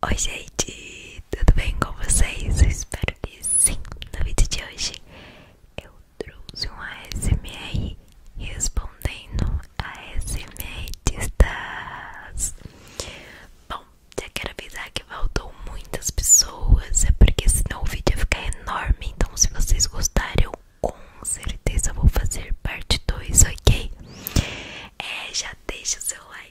Oi gente, tudo bem com vocês? Eu espero que sim! No vídeo de hoje eu trouxe uma ASMR respondendo a ASMR destas. Bom, já quero avisar que voltou muitas pessoas, é porque senão o vídeo ia ficar enorme, então se vocês gostarem eu com certeza vou fazer parte 2, ok? É, já deixa o seu like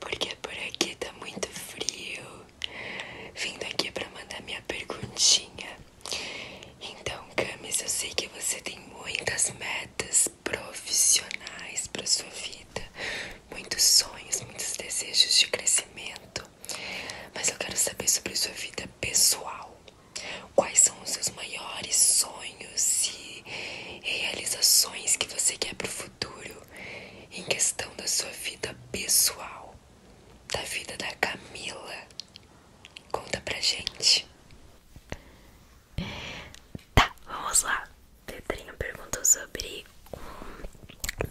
porque por aqui tá muito frio. Vindo aqui para mandar minha perguntinha. Então, Camis, eu sei que você tem muitas metas profissionais para sua vida, muitos sonhos, muitos desejos de crescimento. Mas eu quero saber sobre sua vida pessoal. Quais são os seus maiores sonhos e realizações que você quer para o futuro? em questão da sua vida pessoal, da vida da Camila. Conta pra gente. Tá, vamos lá. Pedrinho perguntou sobre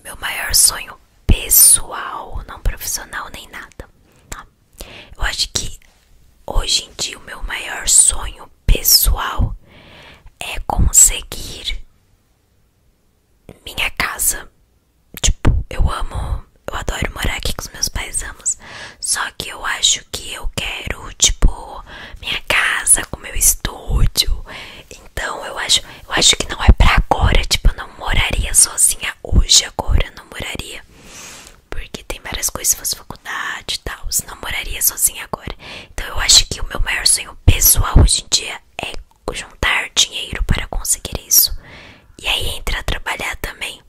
meu maior sonho pessoal, não profissional nem nada. Tá? Eu acho que hoje em dia o meu maior sonho pessoal é conseguir minha casa. Tipo, eu amo, eu adoro morar aqui com os meus pais, amos. Só que eu acho que eu quero, tipo, minha casa com meu estúdio. Então, eu acho, eu acho que não é pra agora, tipo, eu não moraria sozinha hoje agora, não moraria. Porque tem várias coisas, se faculdade e tal, não moraria sozinha agora. Então eu acho que o meu maior sonho pessoal hoje em dia é juntar dinheiro para conseguir isso. E aí entra a trabalhar também.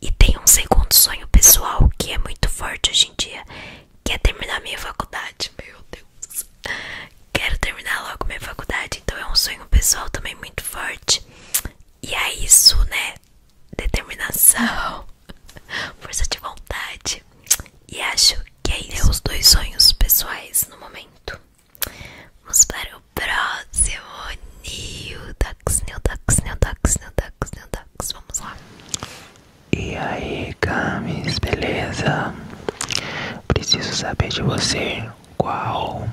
E tem um segundo sonho pessoal que é muito forte hoje em dia, que é terminar minha faculdade. Meu Deus. Quero terminar logo minha faculdade, então é um sonho pessoal também muito forte. E é isso, né? Determinação, força de vontade. E acho que aí deu os dois sonhos pessoais no momento. Vamos para o próximo Nildax, Nildax, Nildax, Nildax, Nildax. Vamos lá. E aí, Camis, beleza? Preciso saber de você qual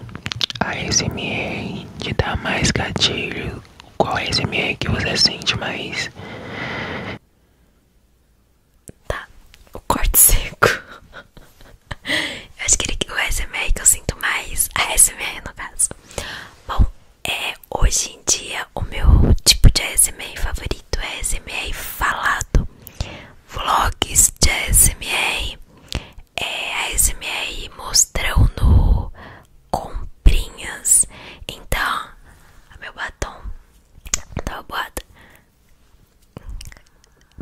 a SMA que dá mais gatilho. Qual a SMA que você sente mais? Tá, o corte seco. eu acho que ele, o ASMR que eu sinto mais. A ASMR no caso. Bom, é, hoje em dia o meu tipo de ASMR favorito é ASMR falado. Vlogs de ASMR. É A ASMR mostrando comprinhas. Então, meu batom tá boada.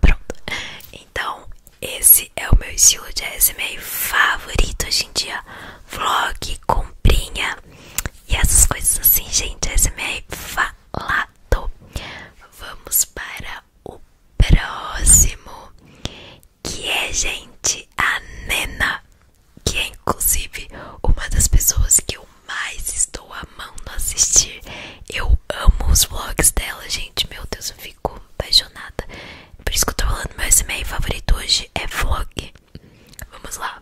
Pronto. Então, esse é o meu estilo de ASMR favorito hoje em dia. Vlog, comprinha e essas coisas assim, gente. ASMR falado. Vamos para o próximo. Que é, gente, a Nena. Que é, inclusive, uma das pessoas que eu mais estou mão no assistir. Eu amo os vlogs dela, gente. Meu Deus, eu fico apaixonada. Por isso que eu tô falando, meu SMA favorito hoje é vlog. Vamos lá.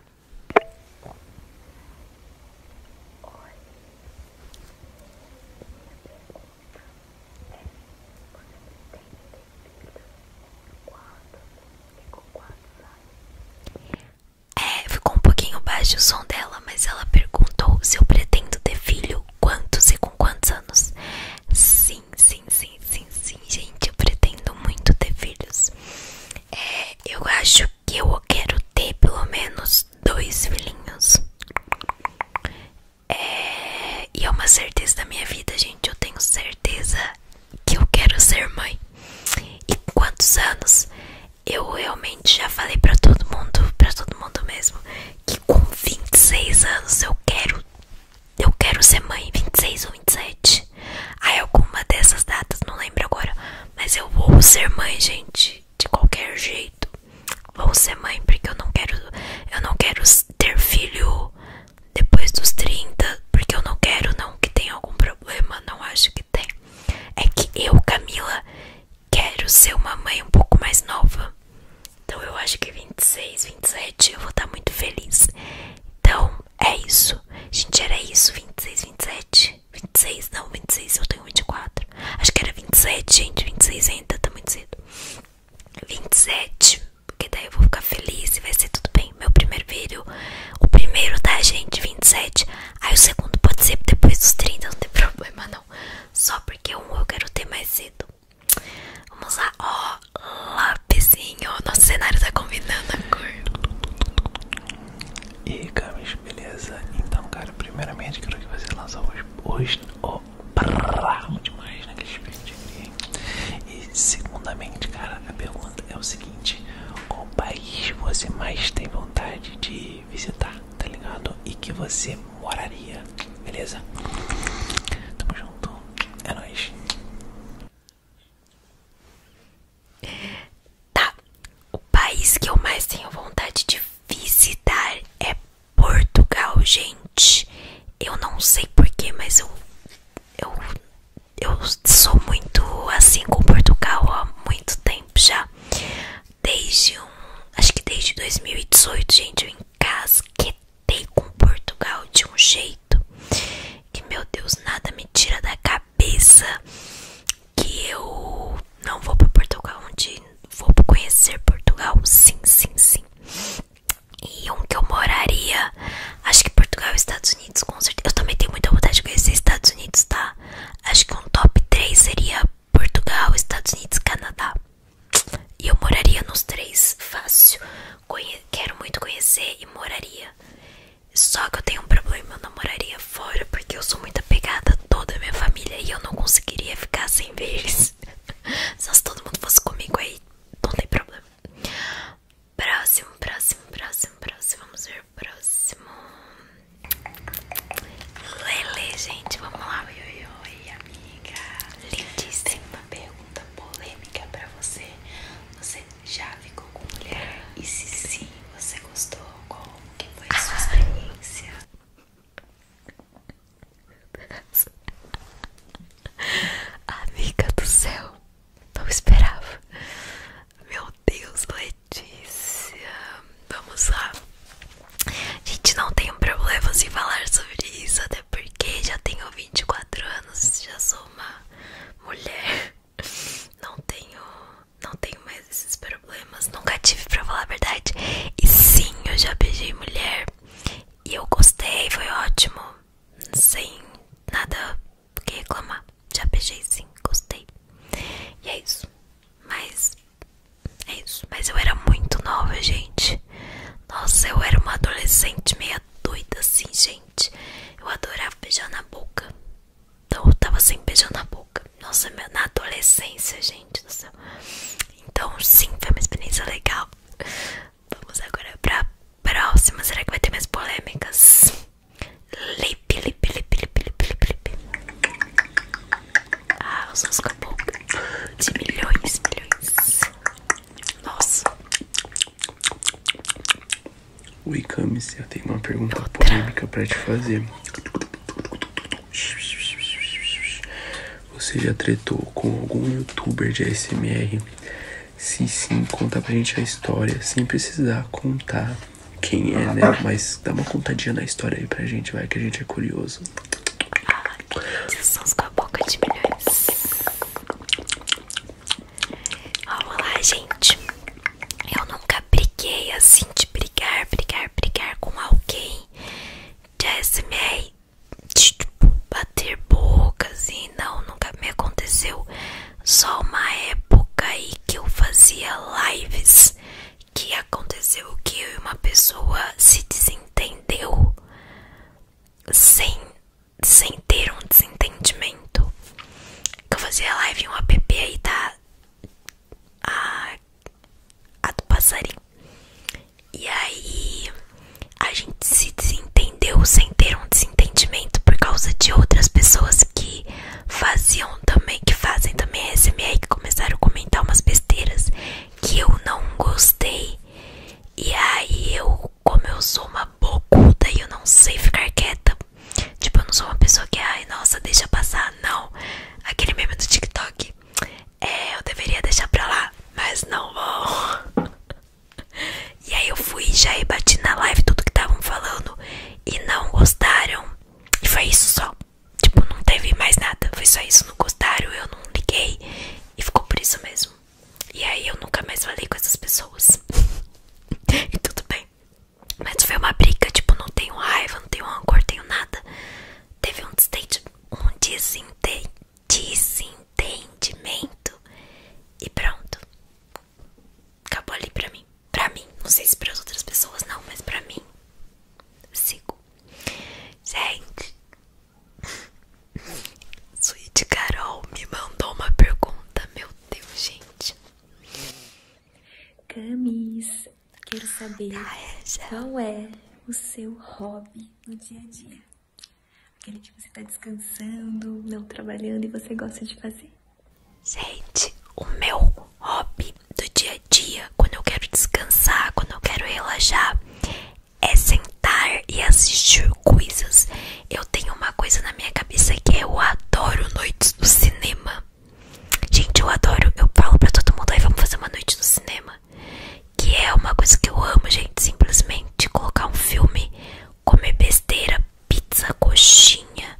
É, ficou um pouquinho baixo o som dela, mas ela perguntou se eu pretendo ter filho, quantos e com quantos anos. Sim, sim, sim, sim, sim, gente, eu pretendo muito ter filhos. É, eu acho que eu quero ter pelo menos dois filhinhos. É, e é uma certeza da minha vida, gente, eu tenho certeza que eu quero ser mãe. E quantos anos? eu realmente já falei pra todo mundo, pra todo mundo mesmo, que com 26 anos eu quero, eu quero ser mãe, 26 ou 27. Aí alguma dessas datas, não lembro agora, mas eu vou ser mãe, gente, de qualquer jeito. Vou ser mãe porque eu não quero, eu não quero ter filho depois dos 30, porque eu não quero não que tenha algum problema, não acho que tem. É que eu, Camila, quero ser uma mãe um pouco mais nova. Então eu acho que 26, 27 eu vou estar muito feliz. Então é isso. Gente, era isso. 26, 27. 26, não, 26 eu tenho 24. Acho que era 27, gente. 26 ainda tá muito cedo. 27, porque daí eu vou ficar feliz e vai ser tudo bem. Meu primeiro vídeo, o primeiro, tá, gente? 27. Aí o segundo pode ser depois dos 30, não tem problema não. Só porque um eu quero ter mais cedo. Vamos lá, ó, oh, lapisinho. Nosso cenário tá combinando a cor. E Camis, beleza? Então, cara, primeiramente quero que você lança hoje. hoje oh, brrr, demais naquele espelho de alegria, E, segundamente, cara, a pergunta é o seguinte: qual país você mais tem vontade de visitar, tá ligado? E que você moraria, beleza? Tamo junto, é nóis. Tá, o país que eu mais tenho vontade de visitar é Portugal, gente. Eu não sei porquê, mas eu. Eu eu sou muito assim com Portugal há muito tempo já. Desde um. Acho que desde 2018, gente, eu encasquetei com Portugal de um jeito que, meu Deus, nada me tira da cabeça que eu não vou para Portugal onde Vou conhecer Portugal, sim, sim, sim. E um que eu moraria, acho que Portugal e Estados Unidos, com certeza. Eu também tenho muita vontade de conhecer Estados Unidos, tá? Acho que um top 3 seria Portugal, Estados Unidos, Canadá. E eu moraria nos três, fácil. quero muito conhecer e moraria. Só que eu tenho um problema, eu não moraria fora porque eu sou muito apegada a toda a minha família e eu não conseguiria ficar sem eles. Só se todo mundo fosse comigo aí, não tem problema. Próximo, próximo, próximo, próximo. Vamos ver o próximo. Lele, gente, vamos lá. Oi, oi, oi, amiga. Lindíssima. Tem uma pergunta polêmica pra você. Você já ficou com mulher? E se sim, você gostou? Como que foi a sua experiência? Amiga do céu, não esperava. Meu Deus, Letícia notícia. Vamos lá. Gente, não tenho problemas em falar sobre isso, até porque já tenho 24 anos, já sou uma mulher. Não tenho, não tenho mais esses problemas, nunca tive para falar a verdade. E sim, eu já beijei mulher e eu gostei, foi ótimo, sem nada que reclamar. Já beijei sim, gostei. E é isso. Mas. É isso. Mas eu era muito nova, gente. Nossa, eu era uma adolescente meia doida assim, gente. Eu adorava beijar na boca. Então eu tava sem beijar na boca. Nossa, na adolescência, gente do céu. Então, sim, foi uma experiência legal. Vamos agora pra próxima. Será que vai ter mais polêmicas? Lip, lip, lip, lip, lip, lip, lip. Ah, os seus acabou de milhões, milhões. Nossa. Oi, Camis, eu tenho uma pergunta polêmica pra te fazer. Você já tretou com algum youtuber de ASMR? Se sim, conta pra gente a história, sem precisar contar quem é, né? Mas dá uma contadinha na história aí pra gente, vai, que a gente é curioso. Ah, que sons com a boca de milhões. Vamos lá, gente. Eu nunca briguei assim de brigar, brigar, brigar com alguém. Jasmine, tipo, bater bocas, assim. Não, nunca me aconteceu. Só uma época aí que eu fazia lives que aconteceu que uma pessoa se desentendeu sem, sem ter um desentendimento. Eu fazia live em um app aí tá a, a do passarinho. E aí a gente se desentendeu sem ter um desentendimento por causa de outras pessoas que faziam também, que fazem também SMR, que começaram a comentar umas besteiras que eu não gostei. E aí eu, como eu sou uma bocuda e eu não sei ficar quieta, tipo, eu não sou uma pessoa que, ai, nossa, deixa passar, não. Aquele meme do TikTok, é, eu deveria deixar pra lá, mas não vou. E aí eu fui já e bati na live tudo que estavam falando e não gostaram. E foi isso só. Tipo, não teve mais nada. Foi só isso. Não gostaram, eu não liguei. E ficou por isso mesmo. E aí eu nunca mais falei com essas pessoas. e tudo bem. Mas foi uma briga, tipo, não tenho raiva, não tenho rancor, tenho nada. Teve um desentendimento. E pronto acabou ali pra mim. Pra mim, não sei se para as outras pessoas não, mas pra mim, sigo. Gente, Sweet Carol me mandou uma pergunta, meu Deus, gente. Camis, quero saber tá, qual é o seu hobby no dia a dia? Aquele que você tá descansando, não trabalhando e você gosta de fazer. Gente, o meu hobby do dia a dia, quando eu quero descansar, quando eu quero relaxar, é sentar e assistir coisas. Eu tenho uma coisa na minha cabeça que é eu adoro noites do cinema. Gente, eu adoro. Eu falo pra todo mundo aí, vamos fazer uma noite no cinema. Que é uma coisa que eu amo, gente. Simplesmente colocar um filme, comer besteira, pizza, coxinha,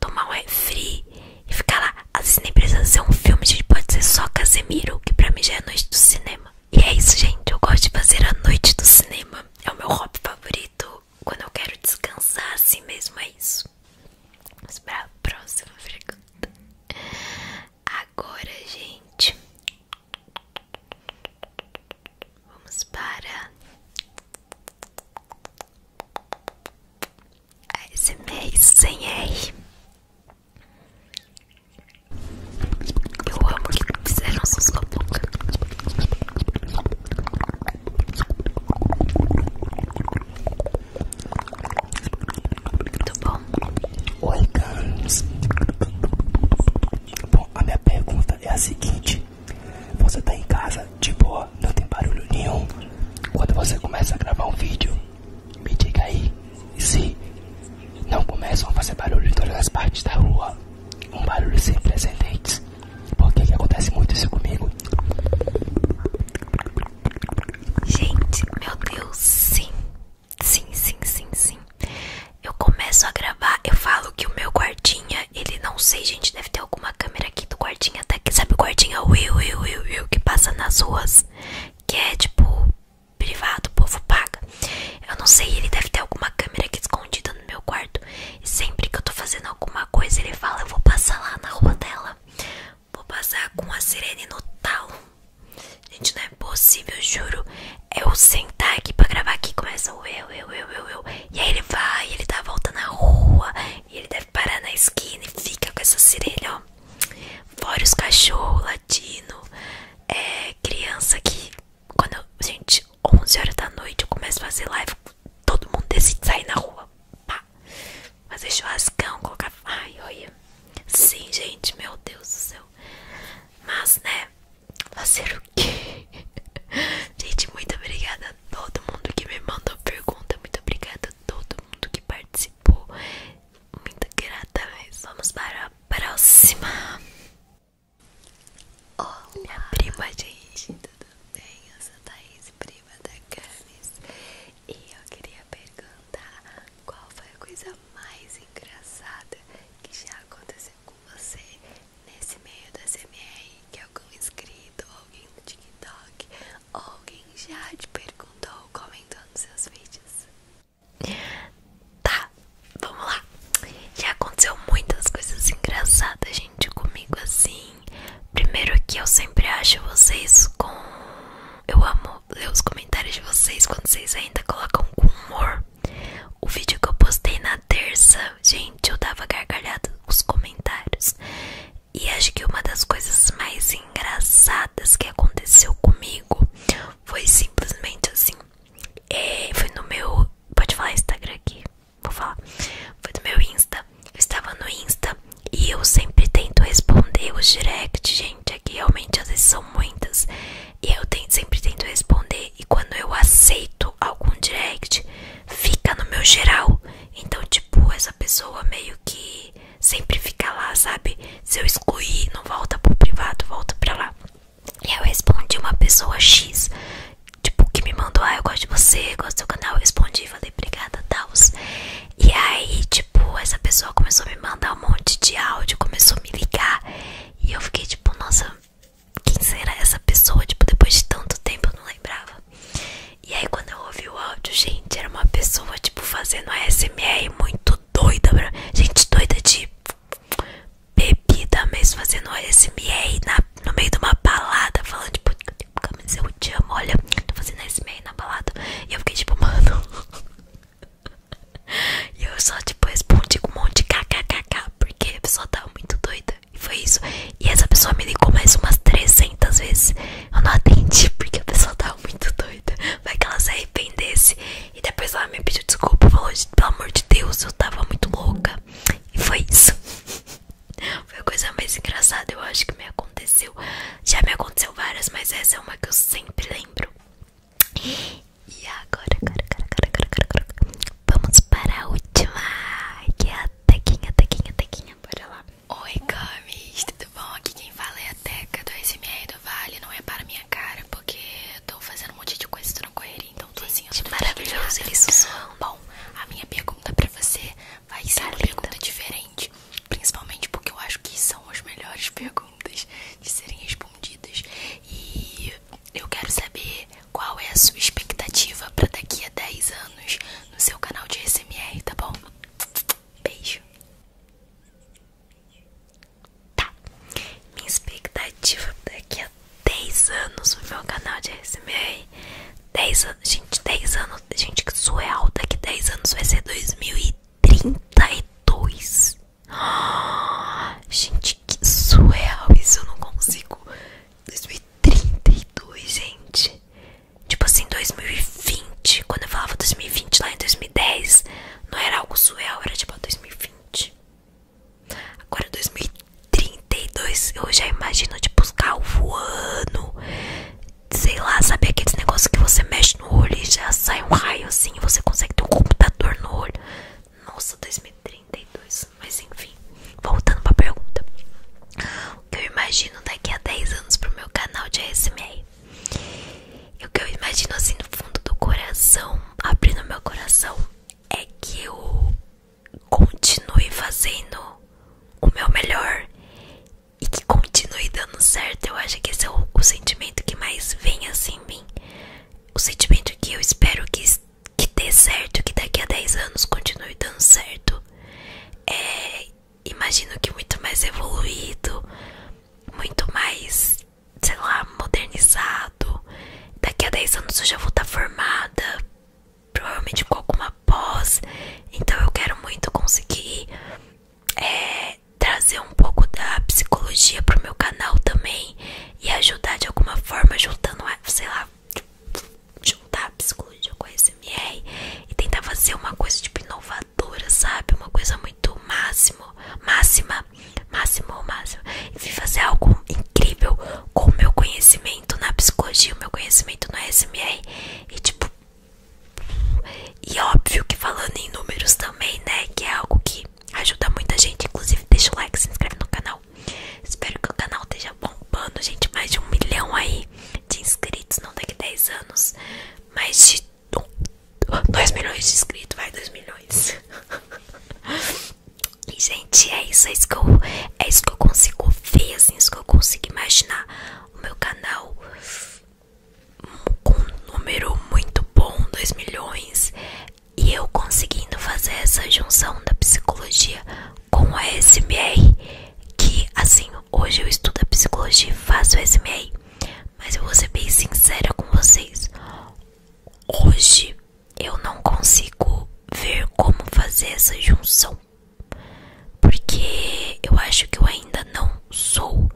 tomar um refri e ficar lá. Às vezes nem precisa ser um filme, gente. Pode ser só Casemiro, que pra mim já é a noite do cinema. E é isso, gente. Eu gosto de fazer a noite do cinema. É o meu hobby favorito. Quando eu quero descansar, assim mesmo é isso. Vamos pra próxima pergunta. Agora, gente. Vamos para ASMR sem R. Eu amo que fizeram essas babocas. Muito bom. Oi, Carlos. Bom, a minha pergunta é a seguinte: Você tá em casa de tipo, boa, não tem barulho nenhum. Quando você começa a gravar um vídeo, me diga aí se não começam a fazer barulho em todas as partes da rua. Um barulho sem precedentes. Porque que acontece muito isso comigo? Gente, meu Deus, sim. Sim, sim, sim, sim. Eu começo a gravar, eu falo que o meu guardinha, ele não sei, gente, deve ter alguma câmera aqui do guardinha que sabe o guardinha é Will, Will, Will, Will que passa nas ruas, que é tipo privado, o povo paga. Eu não sei, ele deve ter alguma câmera aqui escondida no meu quarto. E sempre que eu tô fazendo alguma coisa, ele fala: Eu vou passar lá na rua dela, vou passar com a sirene no talo. Gente, não é possível, juro. Eu sentar aqui pra gravar aqui começa o eu, eu, eu, eu, eu. E aí ele vai, ele dá a volta na rua, e ele deve parar na esquina e fica com essa sirene, ó. Fora os cachorros, latino, é, criança que. Quando eu, gente, 11 horas da noite eu começo a fazer live, todo mundo decide sair na rua. Pá. Fazer churrascão, colocar. Ai, olha. Sim, gente, meu Deus do céu. Mas, né? Fazer o quê? Gente, muito obrigada a todo mundo que me mandou pergunta. Muito obrigada todo mundo que participou. Muito grata mesmo. Vamos para a próxima. Olá, minha prima, gente. Tudo bem? Eu sou Thaís, prima da Camis. E eu queria perguntar qual foi a coisa mais engraçada que já aconteceu com você nesse meio da CMR que algum inscrito ou alguém no TikTok Alguém já te perguntou comentando seus vídeos? Tá, vamos lá. Já aconteceu muitas coisas engraçadas, gente, comigo assim. Primeiro que eu sempre acho vocês com... Eu amo ler os comentários de vocês quando vocês ainda colocam com humor. O vídeo que eu postei na terça, gente, eu dava gargalhada nos comentários. E acho que uma das coisas mais engraçadas que aconteceu comigo foi simplesmente assim. É, foi no meu. Pode falar no Instagram aqui. Vou falar. Foi no meu Insta. Eu estava no Insta e eu sempre tento responder os direct, gente. Aqui é realmente às vezes são muitas. E eu sempre tento responder. E quando eu aceito algum direct, fica no meu geral. Então, tipo, essa pessoa meio que sempre fica lá, sabe? Se eu excluir, não volta pro privado, volta pra lá. E eu respondi uma pessoa X, tipo, que me mandou, ah, eu gosto de você, gosto do seu canal. Eu respondi, falei, obrigada, Taos. E aí, tipo, essa pessoa começou a me mandar um monte de áudio, começou a me ligar. E eu fiquei, tipo, nossa, quem será essa pessoa? Tipo, depois de tanto tempo eu não lembrava. E aí quando eu ouvi o áudio, gente, era uma pessoa tipo fazendo ASMR muito doida, gente doida de bebida mesmo, fazendo ASMR na... no meio de uma balada, falando tipo, tipo mas eu te amo, olha, tô fazendo ASMR na balada. E eu fiquei tipo, mano... E eu só tipo respondi com um monte de kkkk, porque a pessoa tava muito doida. E foi isso. E essa pessoa me ligou mais umas 300 vezes. Eu não atendi porque a pessoa tava muito doida. Vai que ela se arrependesse. E depois ela me pediu desculpa. Falou: pelo amor de Deus, eu tava muito louca. E foi isso. Foi a coisa mais engraçada, eu acho que me aconteceu. Já me aconteceu várias, mas essa é uma que eu sempre lembro. E agora, agora, agora, agora, agora, agora, agora. vamos para a última. Que é a tequinha, tequinha, tequinha bora lá. Oi, Camis, tudo bom? Aqui quem fala é a Teca do SMR do Vale. Não é para minha cara, porque eu tô fazendo um monte de coisa, tô na correria, então tô assim, eu tô maravilhoso, ele sussurrando. Bom, a minha pergunta pra você vai tá ser uma pergunta diferente, principalmente porque eu acho que são as melhores perguntas de serem respondidas. E eu quero saber qual é a sua expectativa pra daqui a 10 anos no seu canal de SMR, tá bom? Beijo. Tá. Minha expectativa daqui a 10 anos no meu canal de SMR. 10 gente, 10 anos, gente, que surreal. Daqui 10 anos vai ser 2032. Ah, gente, que surreal. Isso eu não consigo. 2032, gente. Tipo assim, 2020. Quando eu falava 2020 lá em 2010, não era algo surreal, era tipo 2020. Agora 2032, eu já imagino, tipo, os carros voando. Sei lá, sabe aqueles negócios que você mexe no olho e já sai um raio assim, você consegue ter um computador no olho. Nossa, 2032. Mas enfim, voltando pra pergunta. O que eu imagino daqui a 10 anos pro meu canal de ASMR? E o que eu imagino assim no fundo do coração, abrindo meu coração, é que eu continue fazendo o meu melhor e que continue dando certo. Eu acho que esse é o, o sentimento que mais vem assim em mim. O sentimento que eu espero que, que dê certo, que daqui a 10 anos continue dando certo. É imagino que muito mais evoluído, muito mais, sei lá, modernizado. Daqui a 10 anos eu já vou estar tá formada, provavelmente com alguma pós. Então eu quero muito conseguir é, trazer um pouco da psicologia pro meu canal também e ajudar de alguma forma juntando, sei lá, juntar a psicologia com a e tentar fazer uma coisa tipo inovadora, sabe? Uma coisa muito máximo, máxima, máximo ou máximo. E fazer algo incrível com o meu conhecimento na psicologia, o meu conhecimento no ASMR e tipo. E óbvio que falando em números também, né? Que é algo que ajuda muita gente. Inclusive, deixa o like, se inscreve no canal. Espero que o canal esteja bombando, gente. Mais de um milhão aí de inscritos, não daqui a 10 anos, mais de 2 milhões de inscritos, vai 2 milhões. e gente, é isso, é isso que eu, é isso que eu consigo ver, assim, é isso que eu consigo imaginar o meu canal com um número muito bom, 2 milhões, e eu conseguindo fazer essa junção da psicologia com a SMR, que assim, hoje eu estudo a psicologia e faço a SMR, mas eu vou ser bem sincera com vocês. Hoje eu não consigo ver como fazer essa junção. Porque eu acho que eu ainda não sou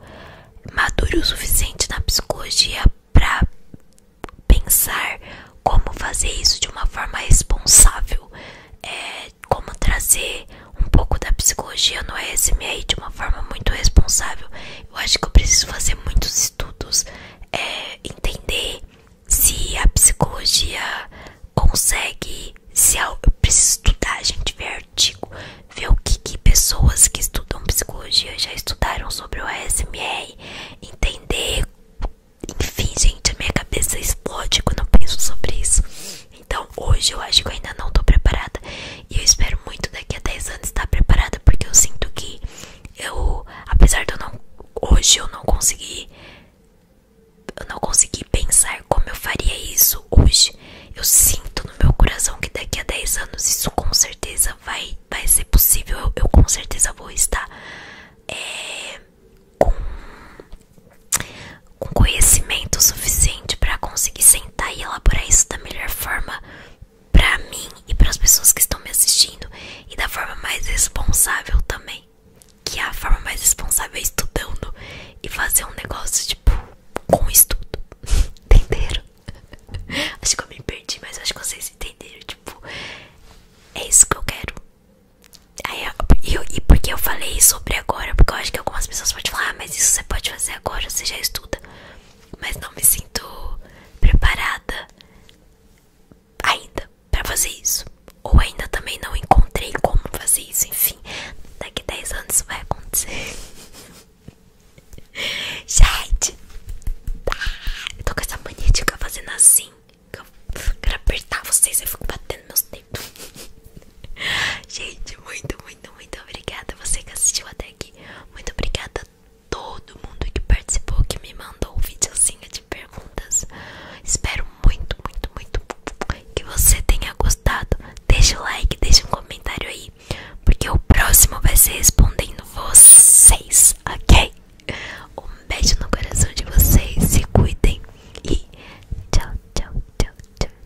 maduro o suficiente na psicologia para pensar como fazer isso de uma forma responsável, é, como trazer um pouco da psicologia no ASMR de uma forma muito responsável. Eu acho que eu preciso fazer muitos estudos, é, entender se a psicologia consegue. Se eu preciso estudar, gente, ver artigo, ver o que, que pessoas que estudam psicologia já estudaram sobre o ASMR, entender. Enfim, gente, a minha cabeça explode quando eu penso sobre isso. Então hoje eu acho que eu ainda não tô preparada E eu espero muito daqui a 10 anos estar preparada Porque eu sinto que eu, apesar de eu não, hoje eu não conseguir Eu não consegui pensar como eu faria isso hoje Eu sinto no meu coração que daqui a 10 anos isso com certeza vai, vai ser possível eu, com certeza vou estar eh, com com conhecimento suficiente para conseguir sentar e elaborar isso da melhor forma para mim e para as pessoas que estão me assistindo e da forma mais responsável também. Que é a forma mais responsável é estudando e fazer um negócio tipo com estudo. Entenderam? Acho que eu me perdi, mas acho que vocês entenderam. Tipo, é isso que eu quero. Aí e, porque eu falei sobre agora? Porque eu acho que algumas pessoas podem falar, ah, mas isso você pode fazer agora você já estuda, mas não me sinto preparada ainda para fazer isso, ou ainda também não encontrei como fazer isso. Enfim, daqui 10 anos isso vai acontecer. Gente, tá. eu tô com essa mania de ficar fazendo assim. Eu quero apertar vocês, eu fico batendo meus dedos. Gente, muito, muito, muito obrigada. Você que assistiu até aqui, muito obrigada a todo mundo que participou, que me mandou o videozinho de perguntas. Espero muito, muito, muito que você tenha gostado. Deixe o like, deixe um comentário aí, porque o próximo vai ser respondendo vocês, ok? Um beijo no coração de vocês, se cuidem e tchau, tchau, tchau, tchau,